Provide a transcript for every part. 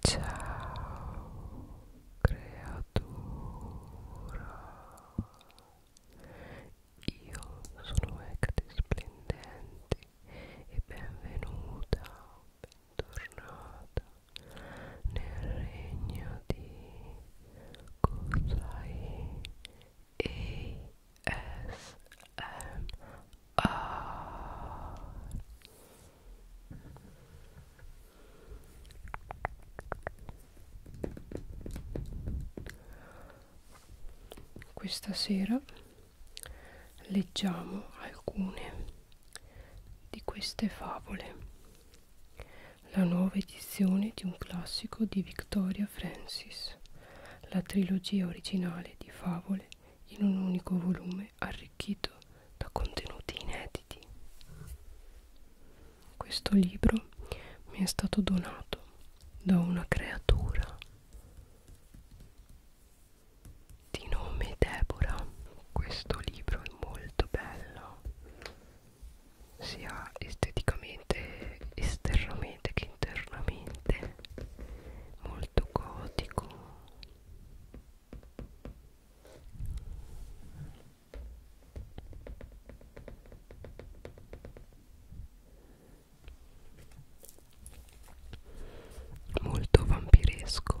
Ciao creatura, io sono Ecte Splendente e benvenuta, bentornata nel regno di Kusai Ah. Questa sera leggiamo alcune di queste favole, la nuova edizione di un classico di Victoria Francis, la trilogia originale di favole in un unico volume arricchito da contenuti inediti. Questo libro mi è stato donato da una creatura di nome Deborah. Questo libro è molto bello, sia esteticamente, esternamente che internamente, molto gotico molto vampiresco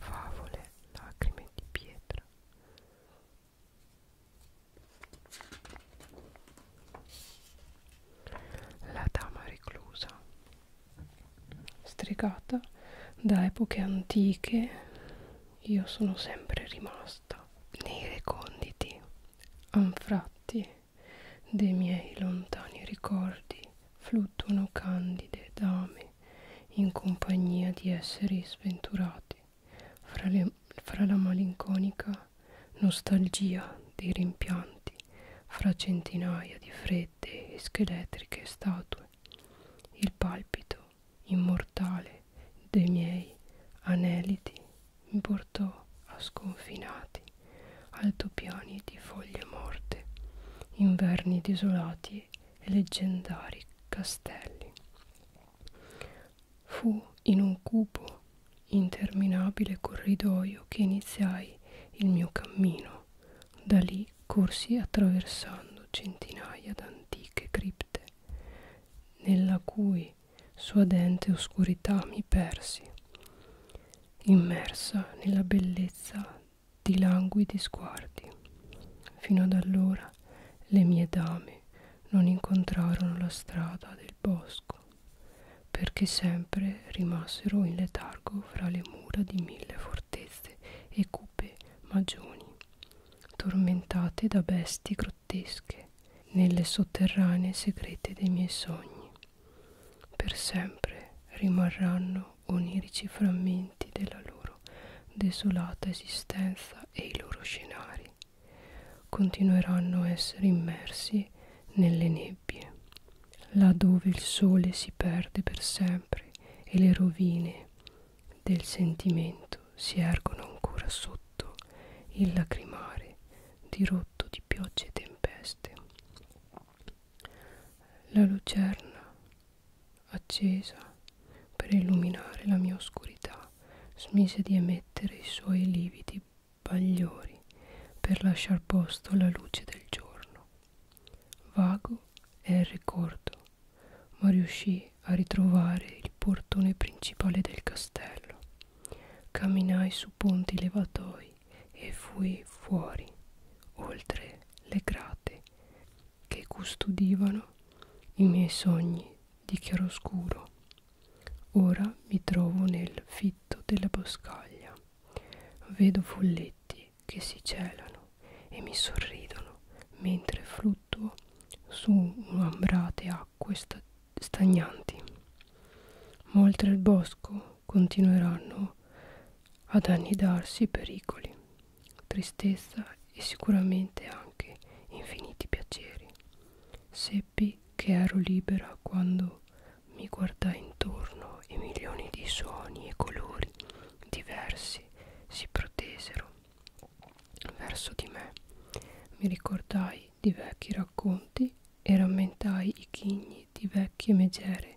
favole, lacrime di pietra la dama reclusa stregata da epoche antiche io sono sempre rimasta nei reconditi anfratti dei miei lontani ricordi fluttuano candide dame in compagnia di esseri sventurati fra, le, fra la malinconica nostalgia dei rimpianti fra centinaia di fredde e scheletriche statue il palpito immortale dei miei aneliti portò a sconfinati altopiani di foglie morte, inverni desolati e leggendari castelli. Fu in un cupo interminabile corridoio che iniziai il mio cammino. Da lì corsi attraversando centinaia d'antiche cripte, nella cui suadente oscurità mi persi immersa nella bellezza di languidi sguardi. Fino ad allora le mie dame non incontrarono la strada del bosco, perché sempre rimasero in letargo fra le mura di mille fortezze e cupe magioni, tormentate da bestie grottesche nelle sotterranee segrete dei miei sogni. Per sempre rimarranno onirici frammenti della loro desolata esistenza e i loro scenari. Continueranno a essere immersi nelle nebbie, laddove il sole si perde per sempre e le rovine del sentimento si ergono ancora sotto il lacrimare dirotto di piogge e tempeste. La lucerna accesa per illuminare la mia oscurità smise di emettere i suoi lividi bagliori per lasciar posto alla luce del giorno. Vago è il ricordo, ma riuscii a ritrovare il portone principale del castello. Camminai su ponti levatoi e fui fuori, oltre le grate che custodivano i miei sogni di chiaroscuro. Ora mi trovo nel fitto della boscaglia, vedo folletti che si celano e mi sorridono mentre fluttuo su ambrate acque stagnanti, ma oltre il bosco continueranno ad annidarsi pericoli, tristezza e sicuramente anche infiniti piaceri. Seppi che ero libera quando mi guardai intorno e milioni di suoni e colori diversi si protesero verso di me. Mi ricordai di vecchi racconti e rammentai i chigni di vecchie megere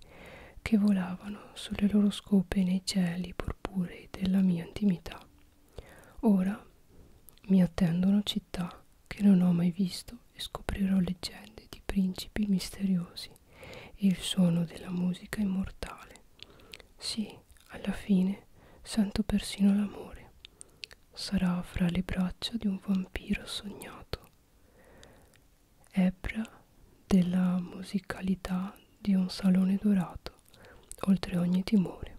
che volavano sulle loro scope nei cieli purpurei della mia intimità. Ora mi attendono città che non ho mai visto e scoprirò leggende di principi misteriosi e il suono della musica immortale. Sì, alla fine sento persino l'amore. Sarà fra le braccia di un vampiro sognato ebbra della musicalità di un salone dorato, oltre ogni timore,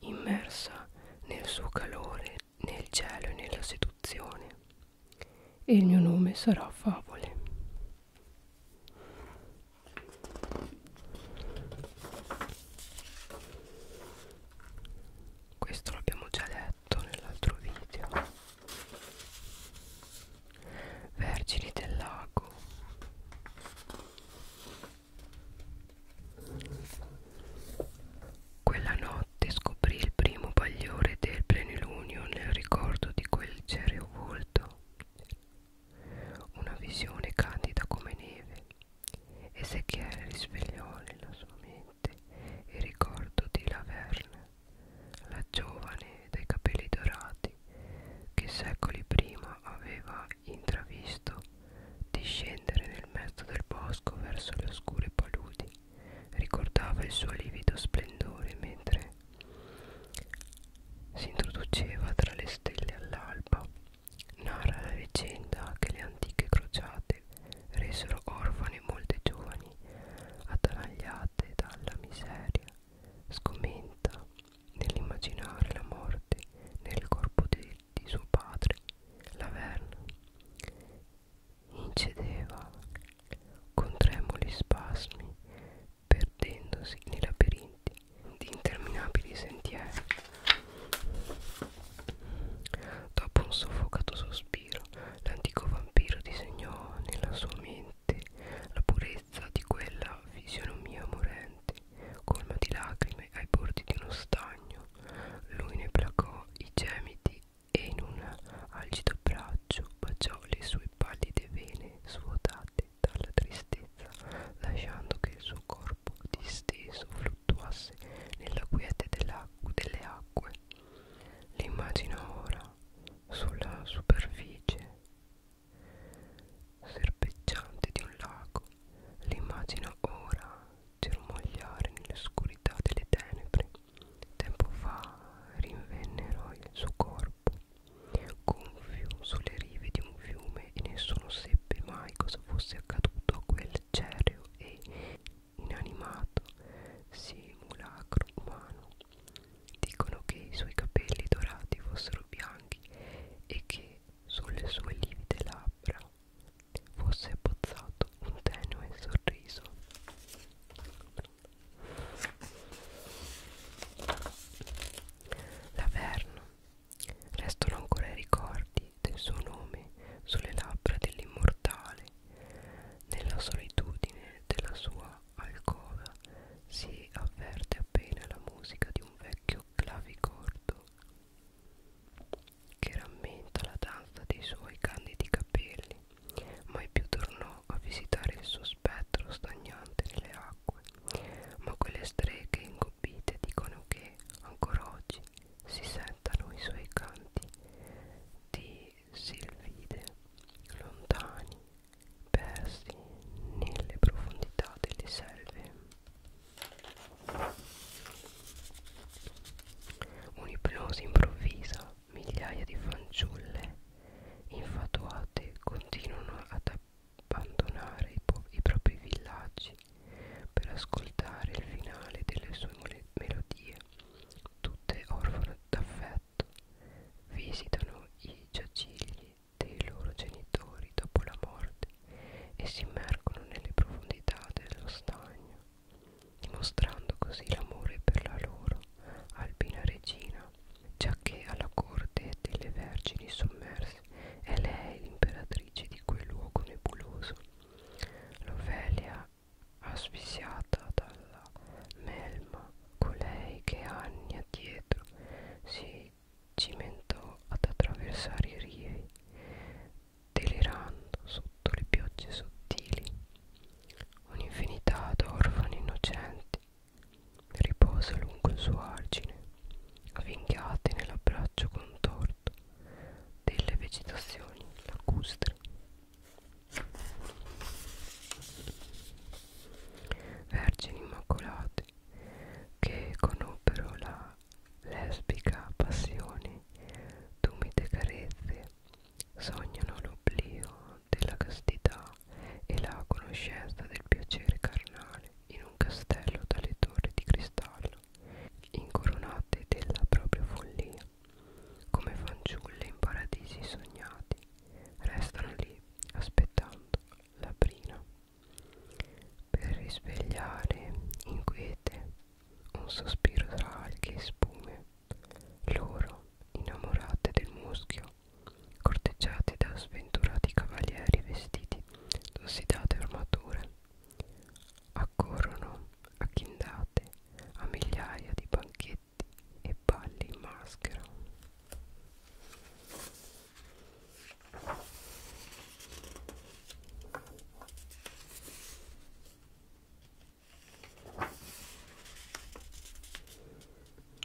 immersa nel suo calore, nel cielo e nella seduzione. E il mio nome sarà Favole. Questo l'abbiamo già letto detto nell'altro video vergini del lago quella notte scoprì il primo bagliore del plenilunio nel ricordo di quel cereo volto una visione candida come neve Ezechiele risvegliò nella sua mente mente il ricordo di Laverne, la giovane dai capelli dorati che secoli prima aveva intravisto discendere nel mezzo del bosco verso le oscure paludi. Ricordava il suo livido splendore mentre si introduceva tra le stelle all'alba. Narra la leggenda che le antiche crociate resero orfane molte giovani attanagliate dalla miseria scomenta nell'immaginare la morte nel corpo di, di suo padre Laverna incedeva con tremoli spasmi perdendosi nei labirinti di interminabili sentieri Dopo un soffocato sospiro, l'antico vampiro disegnò nella sua mente la purezza di quella fisionomia morente, colma di lacrime ai bordi di uno stagno. Lui ne placò i gemiti e in un algido braccio baciò le sue pallide vene svuotate dalla tristezza, lasciando che il suo corpo disteso fluttuasse nella quiete delle acque acque. L'immagina ora sulla superficie serpeggiante di un lago. L'immagina ora germogliare nell'oscurità delle tenebre. Tempo fa rinvennero il suo corpo, gonfio sulle rive di un fiume e nessuno seppe mai cosa fosse accaduto a quel cereo e inanimato simulacro umano. Dicono che i suoi capelli dorati fossero bianchi e che sulle sue livide labbra fosse abbozzato un tenue sorriso. Laverno. Restano ancora i ricordi scritte il suo nome sulle labbra dell'immortale. Nella solitudine della sua alcova si avverte appena la musica di un vecchio clavicordo che rammenta la danza dei suoi candidi capelli. Mai più tornò a visitare il suo spettro stagnante nelle acque, ma quelle streghe ingobbite dicono che ancora oggi si settano i suoi canti di silvide lontani persi nelle profondità delle selve un'ipnosi improvvisa migliaia di fanciulle infatuate continuano ad abbandonare i, i propri villaggi per ascoltare il finale delle sue melodie, tutte orfane d'affetto, visitano i giacigli dei loro genitori dopo la morte e si immergono nelle profondità dello stagno, dimostrando così l'amore per la loro alpina regina, già che alla corte delle vergini sommerse è lei l'imperatrice di quel luogo nebuloso l'ofelia asfissiata dalla melma colei che anni addietro si cimentò ad attraversare i rie delirando sotto le piogge sottili un'infinità d'orfani innocenti riposa lungo il suo argine avvinghiati nell'abbraccio contorto rapporto delle vegetazioni lacustri Vergini immacolate che conobbero la lesbica passione d'umide carezze sognano l'oblio della castità e la conoscenza del piacere carnale in un castello dalle torri di cristallo incoronate della propria follia, come fanciulle in paradisi sognati, restano lì aspettando la brina per risvegliare inquiete un sospiro tra alghe e spume. Loro, innamorate del muschio, corteggiate da sventurati cavalieri vestiti d'ossidate armature, accorrono acchindate a migliaia di banchetti e balli in maschera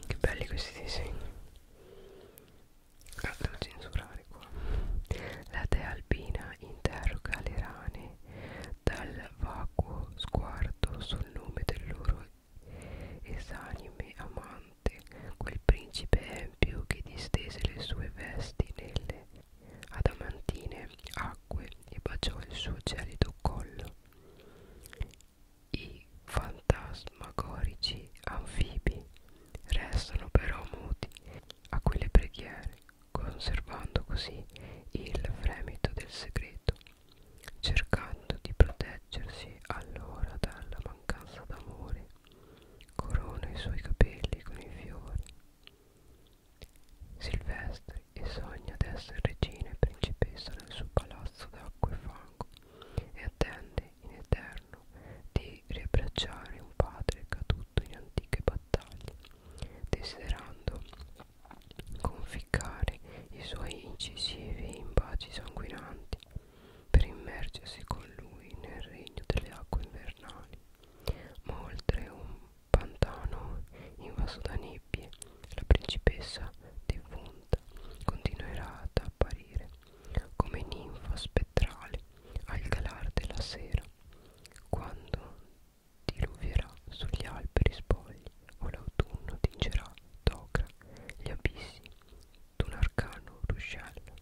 che belli questi disegni ah, devo censurare andare qua la dea albina interroga le rane dal vacuo sguardo sul nome del loro esanime amante quel principe empio che distese le sue vesti nelle adamantine acque e baciò il suo gelido collo i fantasmagorici anfibi restano però muti a quelle preghiere conservando così il fremito del segreto, cercando di proteggersi allora dalla mancanza d'amore, corona i suoi capelli con i fiori. Silvestri e sogna di essere regina e principessa nel suo palazzo d'acqua e fango e attende in eterno di vorrei riabbracciare un padre caduto in antiche battaglie, desiderando conficcare i suoi incisivi in baci sanguinanti per immergersi con lui nel regno delle acque invernali. Ma oltre un pantano invaso da nebbie, la principessa defunta continuerà ad apparire come ninfa spettrale al calar della sera quando diluvierà sugli alberi spogli o l'autunno tingerà d'ocra gli abissi d'un arcano ruscello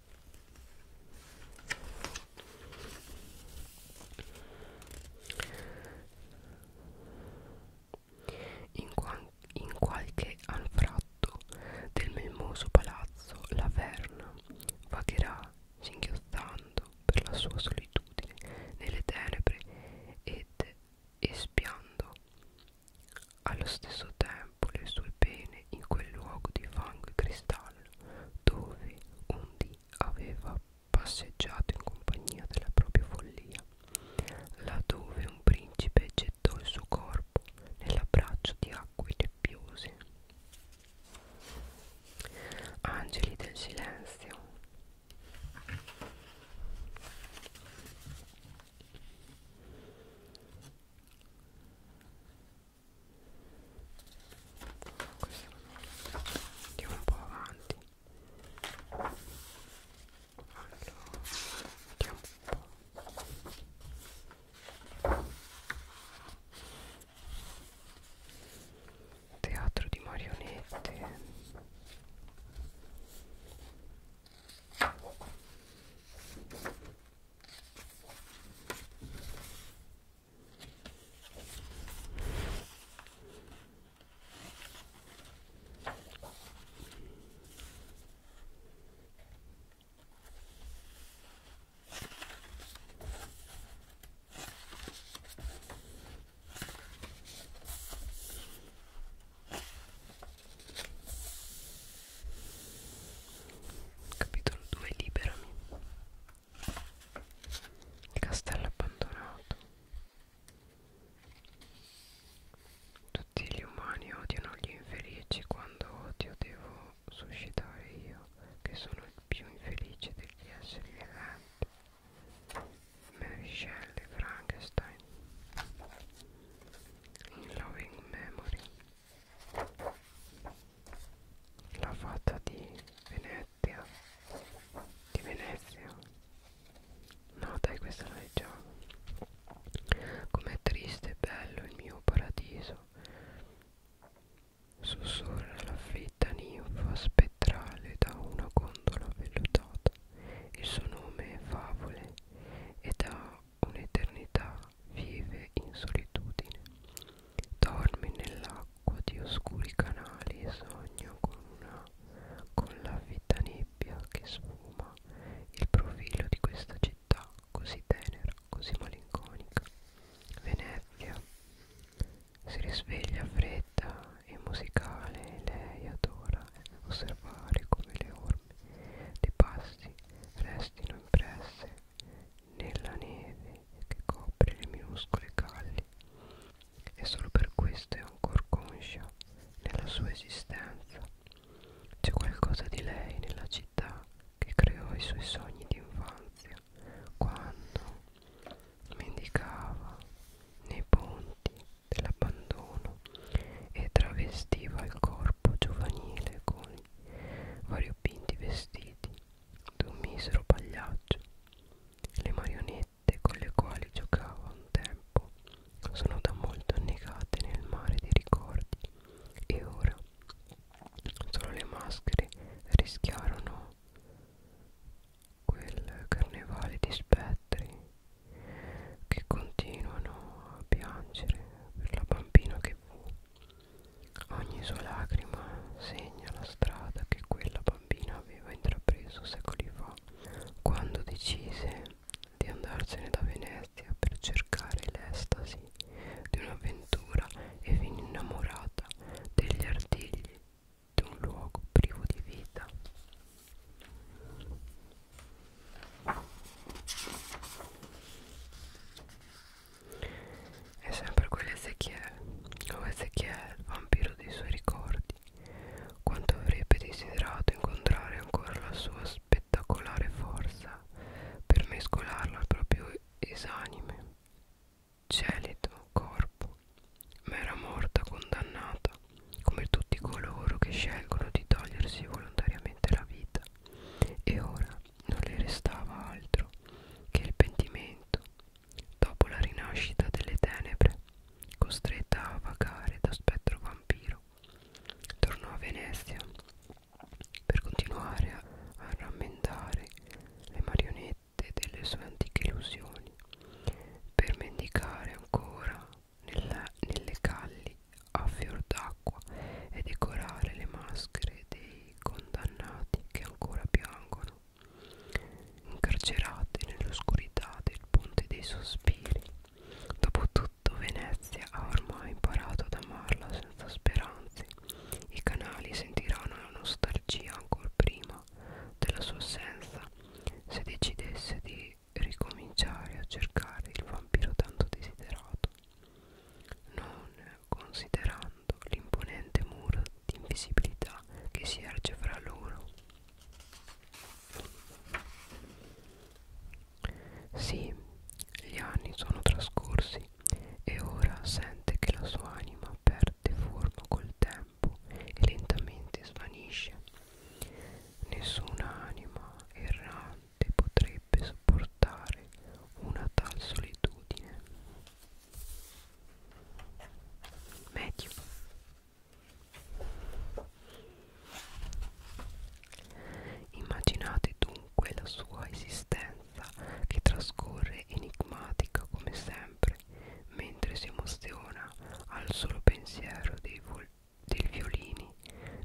in, in qualche anfratto del melmoso palazzo la verna vagherà singhiozzando per la sua solitudine nelle tenebre ed espiando allo stesso tempo le sue pene in quel luogo di fango e cristallo dove un dì aveva passeggiato in compagnia della propria follia, laddove un principe gettò il suo corpo nell'abbraccio di acque nebbiose. Angeli del silenzio Questo andiamo un po' avanti allora, andiamo un po' teatro di marionette Capitolo 2 Liberami Il castello abbandonato Tutti gli umani odiano gli infelici quando odio devo suscitare io che sono il più infelice degli esseri vivanti, Mary Shelley Frankenstein. In Loving Memory, la fata di Venezia, di Venezia. No dai, questa la leggiamo. Com'è triste e bello il mio paradiso. Sussurra la fredda ninfa spettrale da una gondola vellutata. Il suo nome è Favole e da un'eternità vive in solitudine. Dorme nell'acqua di oscuri canali e sogna con, una, con la vita nebbia che sfuma il profilo di questa città così tenera, così malinconica. Venezia si risveglia fredda e musicale, lei adora osservare come le orme dei passi restino impresse nella neve che copre le minuscole calli e solo per questo è ancora conscia nella sua esistenza. C'è qualcosa di lei nella città che creò i suoi sogni di infanzia quando mendicava nei ponti dell'abbandono e travestiva il corpo giovanile con i variopinti vestiti d'un misero pagliaccio. Le marionette con le quali giocava un tempo sono da molto annegate nel mare dei ricordi e ora Solo le maschere rischiarono quel carnevale di spettri che continuano a piangere per la bambina che fu. Ogni sua lacrima segna la strada che quella bambina aveva intrapreso secoli fa, quando decise di andarsene da Venezia per cercare l'estasi di un'avventura e venne innamorata degli artigli di un luogo privo di vita. È sempre quell'Ezechiel, o Ezechiel, vampiro dei suoi ricordi, quanto avrebbe desiderato incontrare ancora la sua spettacolare forza per mescolarla al proprio esanime gelido corpo, ma era morta condannata, come tutti coloro che scelgono di togliersi volontariamente la vita, e ora non le restava altro che il pentimento, dopo la rinascita delle tenebre, costretta a vagare da spettro vampiro. Tornò a Venezia per continuare a, a rammentare le marionette delle sue antiche illusioni, per mendicare ancora nella, nelle calli a fior d'acqua e decorare le maschere dei condannati che ancora piangono, incarcerate nell'oscurità del ponte dei sospiri. Dopotutto Venezia ha ormai imparato ad amarla senza speranze, i canali sentiranno la nostalgia ancora prima della sua assenza se decidesse di ricominciare a cercare il vampiro tanto desiderato, non considerando l'imponente muro di invisibilità che si erge fra loro. Sì, gli anni sono trascorsi occhi e ora sente che la sua anima perde forma col tempo e lentamente svanisce. Nessuna anima errante potrebbe sopportare una tal solitudine. Medio. Immaginate dunque la sua esistenza stanza che trascorre enigmatica come sempre, mentre si emoziona al solo pensiero dei, dei violini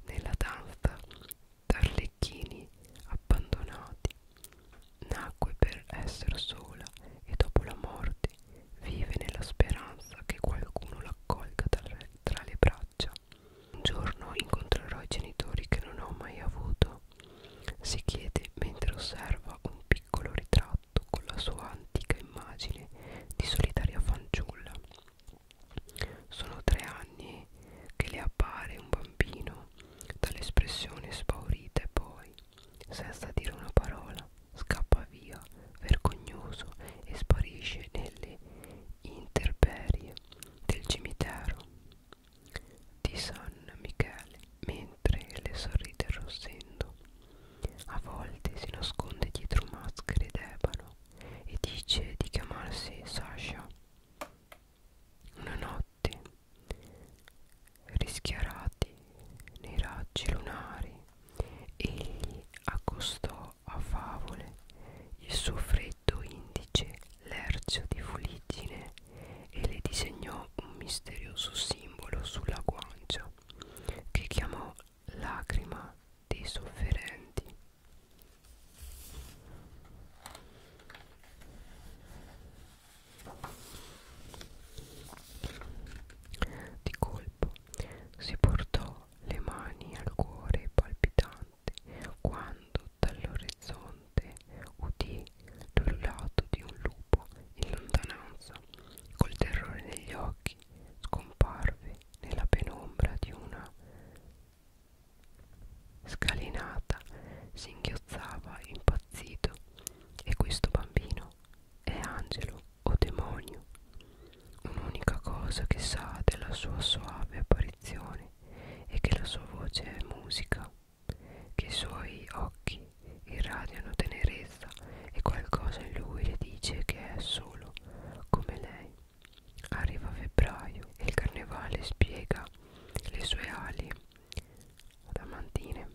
nella danza d'arlecchini abbandonati. Nacque per essere sola e dopo la morte vive nella speranza che qualcuno l'accolga tra le braccia. Un giorno incontrerò i genitori che non ho mai avuto, si chiede mentre osserva un piccolo ritratto con la sua antica immagine di solitaria fanciulla. Sono tre anni che le appare un bambino dall'espressione spaurita e poi, senza dire una parola, scappa via, vergognoso, e sparisce nelle interperie del cimitero di San Michele mentre le sorride arrossendo. A volte si nasconde dietro maschere d'ebano e dice di chiamarsi Sasha. Una notte, rischiarati nei raggi lunari, egli accostò a favole il suo freddo dito indice l'ercio di fuliggine e le disegnò un misterioso simbolo sulla guancia che chiamò lacrima dei sofferenti. Di colpo si portò le mani al cuore palpitante quando all'orizzonte udì l'urlato di un lupo in lontananza col terrore negli occhi scomparve nella penombra di una scalinata singhiozzava impazzito e questo bambino è angelo o demonio un'unica cosa che sa della sua soave apparizione e che la sua voce è musica, che i suoi occhi irradiano tenerezza e qualcosa in lui le dice che è solo come lei. Arriva febbraio e il carnevale spiega le sue ali adamantine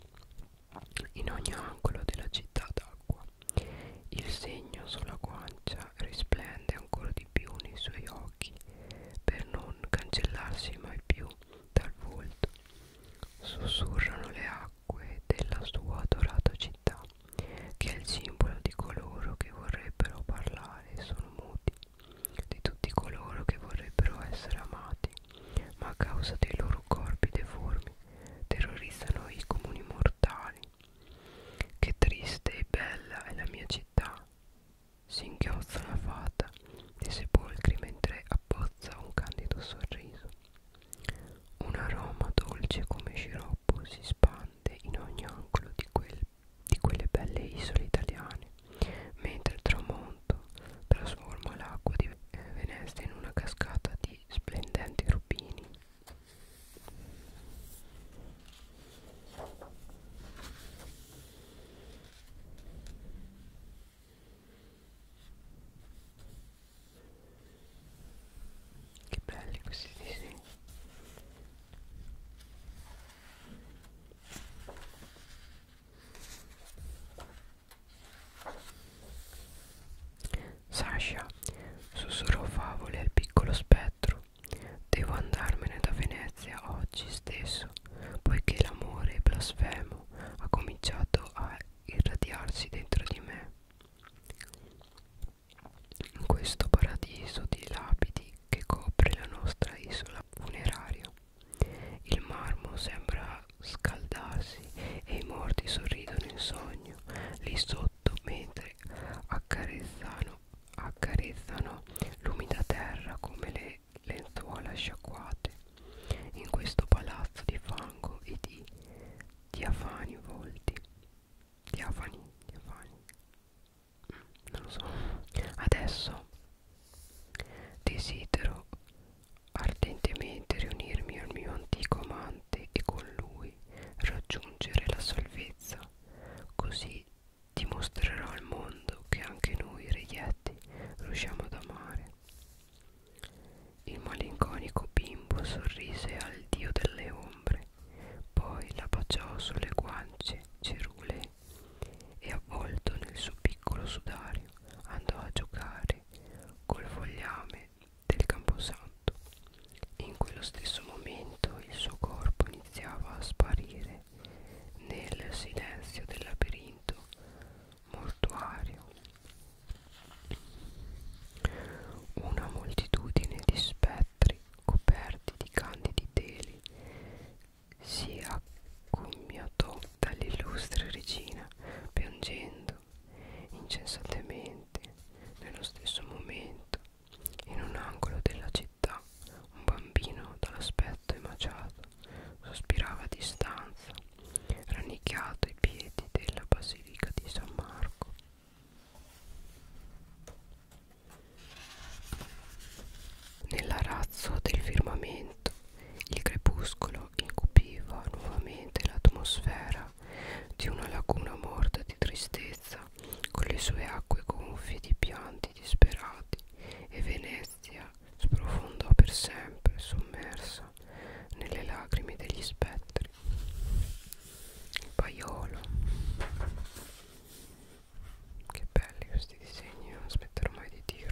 in ogni angolo della città d'acqua. Il segno sulla guancia risplende ancora di più nei suoi occhi per non cancellarsi mai più dal volto. Sussurrano le acque della sua adorata città, che è il simbolo di coloro che vorrebbero parlare e sono muti, di tutti coloro che vorrebbero essere amati, ma a causa dei loro corpi deformi terrorizzano i comuni mortali. Che triste e bella è la mia città, Singhiozza la fata dei sepolcri mentre abbozza un candido sorriso. Un aroma dolce come sciroppo si spande in ogni angolo di, quel, di quelle belle isole italiane, mentre il tramonto trasforma l'acqua di Venezia in una cascata di splendenti rubini. Che belli questi disegni. Sasha sussurrò favole al piccolo specchio quattro Devo andarmene da Venezia oggi stesso, poiché l'amore blasfemo ha cominciato a irradiarsi dentro di me. In questo paradiso di lapidi che copre la nostra isola funeraria, il marmo sembra scaldarsi e i morti sorridono in sogno lì sotto mentre accarezzano accarezzano l'umida terra come le lenzuola sciacquate in questo palazzo di fango e di diafani volti diafani diafani mm, non lo so adesso desidero ardentemente riunirmi al mio antico amante e con lui raggiungere la salvezza così dimostrerò al mondo che anche noi reietti riusciamo ad amare. Il malinconico bimbo sorrise al dio delle ombre, poi la baciò sulle guance cerulee e avvolto nel suo piccolo sudario andò a giocare col fogliame del camposanto. In quello stesso momento il suo corpo iniziava a sparire stanze nel silenzio del labirinto mortuario. Una moltitudine di spettri coperti di candidi teli si accommiatò dall'illustre regina, piangendo incessantemente nello stesso momento in un angolo della città un bambino dall'aspetto emaciato sospirava a distanza, rannicchiato ai piedi della basilica di San Marco. Nell'arazzo del firmamento il crepuscolo incupiva nuovamente l'atmosfera di una laguna morta di tristezza con le sue acque gonfie di piante pianti disperati e Venezia sprofondò per sempre sommersa nelle lacrime degli spettri. Il paiolo. Che belli questi disegni, non aspetterò mai di dirlo.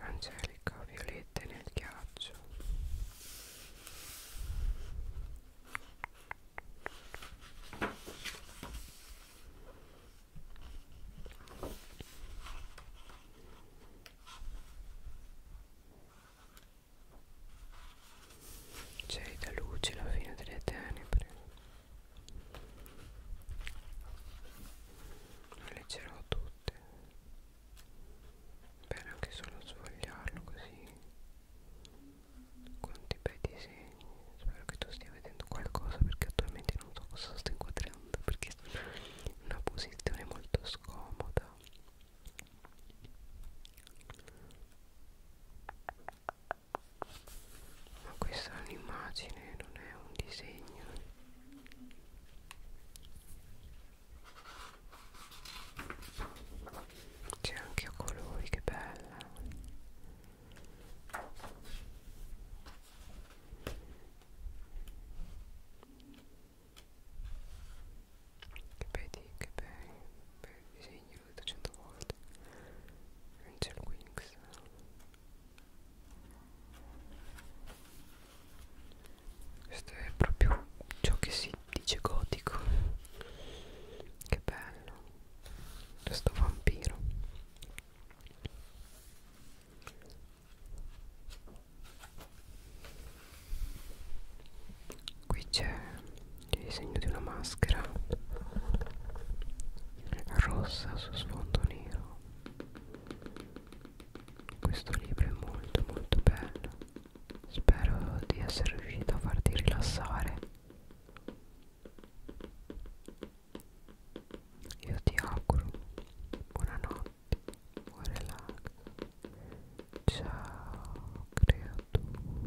Angelica violette nel ghiaccio C'è da luce la fine delle tenebre le leggerò tutte bene anche solo sfogliarlo così quanti bei disegni spero che tu stia vedendo qualcosa perché attualmente non so cosa sto inquadrando perché sono in una posizione molto scomoda ma questa è un'immagine non è un disegno c'è anche a colori che bella che vedi che bello bel disegno l'ho detto cento volte Angel Wings questo è proprio ciò che si dice gotico che bello questo vampiro qui c'è il disegno di una maschera rossa su sfondo nero questo libro è molto molto bello spero di essere riuscito a farti rilassare io ti auguro buonanotte buon relax ciao creatura